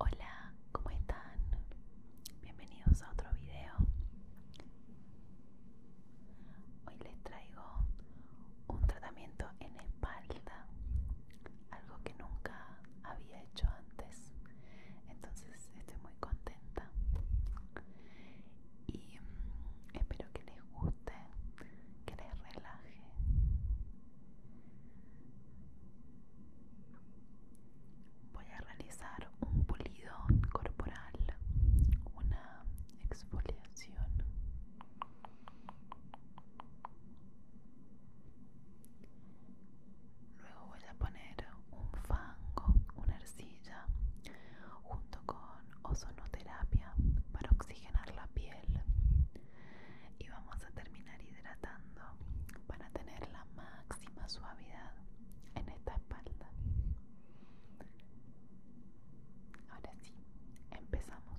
Hola, ¿cómo están? Bienvenidos a otro video. Hoy les traigo un tratamiento en espalda algo que nunca había hecho antes entonces estoy muy contenta y mm, espero que les guste que les relaje voy a realizar un pulido corporal una exfoliación Luego voy a poner un fango, una arcilla, junto con ozonoterapia para oxigenar la piel. Y vamos a terminar hidratando para tener la máxima suavidad en esta espalda. Ahora sí, empezamos.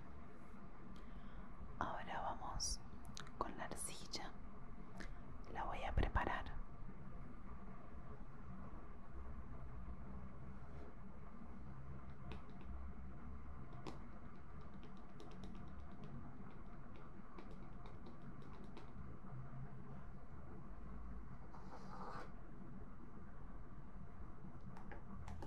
Ahora vamos con la arcilla. La voy a preparar.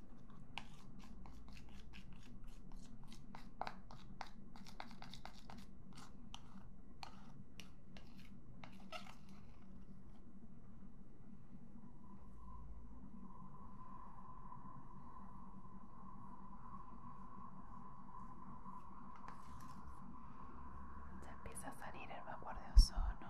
Se empieza a salir el vapor de ozono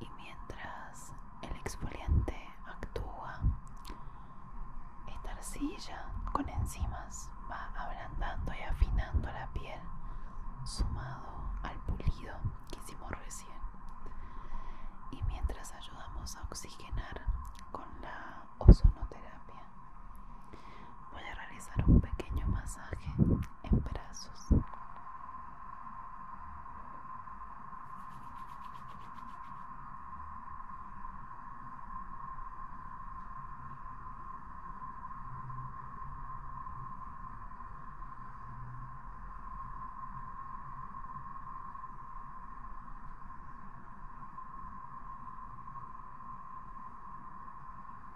Y mientras el exfoliante actúa, esta arcilla con enzimas va ablandando y afinando la piel, sumado al pulido que hicimos recién. Y mientras ayudamos a oxigenar con la ozonoterapia, voy a realizar un pequeño masaje en brazos.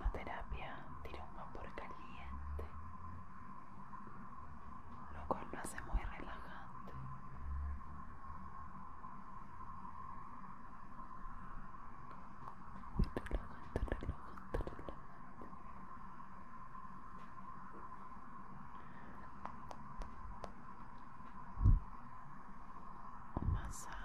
La terapia tiene un vapor caliente lo cual lo hace muy relajante. Muy relajante, relajante, relajante. Un masaje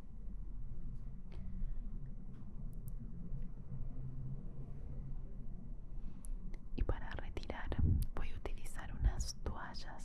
Y para retirar voy a utilizar unas toallas.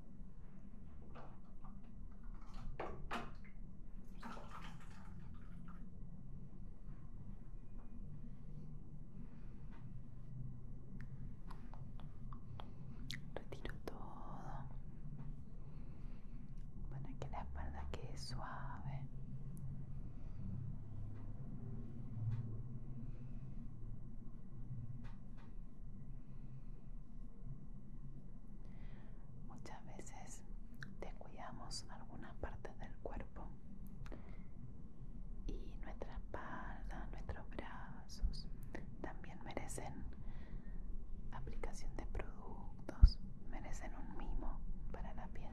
Retiro todo para que la espalda quede suave. Muchas veces descuidamos alguna parte del cuerpo y nuestra espalda, nuestros brazos también merecen aplicación de productos, merecen un mimo para la piel.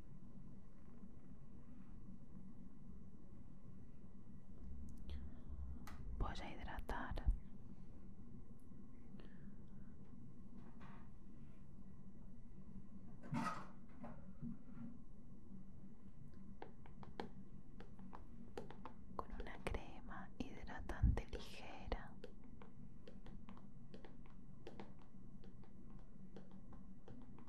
Voy a hidratar con una crema hidratante ligera.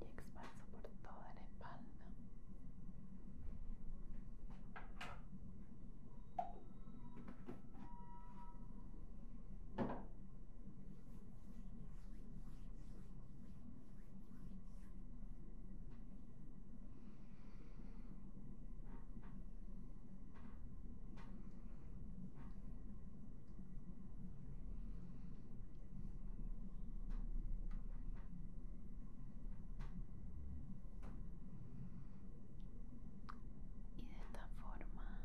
y expanso por toda la espalda. Y de esta forma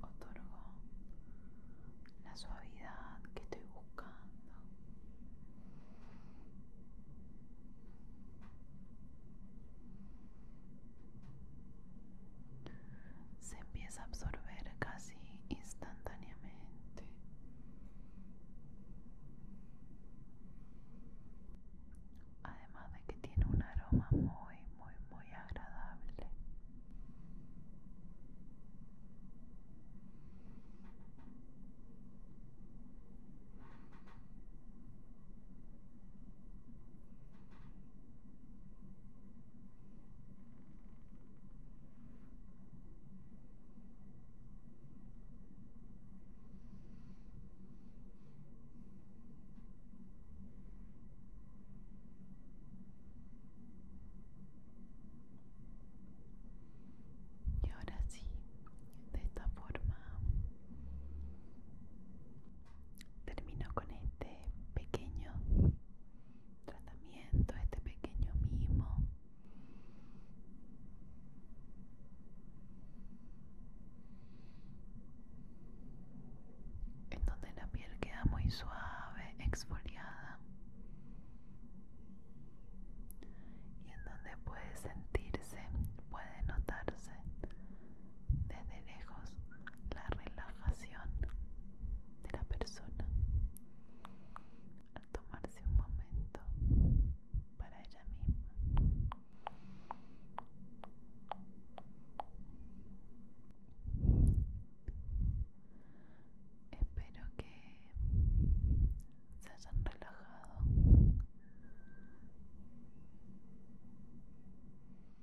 otorgo la suavidad que estoy buscando se empieza a absorber casi instantáneamente. Además de que tiene un aroma muy, muy, muy agradable. Y ahora sí, de esta forma termino con este pequeño tratamiento, este pequeño mimo. En donde la piel queda muy suave, exfoliada. Y en donde puede sentirse, puede notarse desde lejos la relajación de la persona al tomarse un momento para ella misma. Espero que se hayan relajado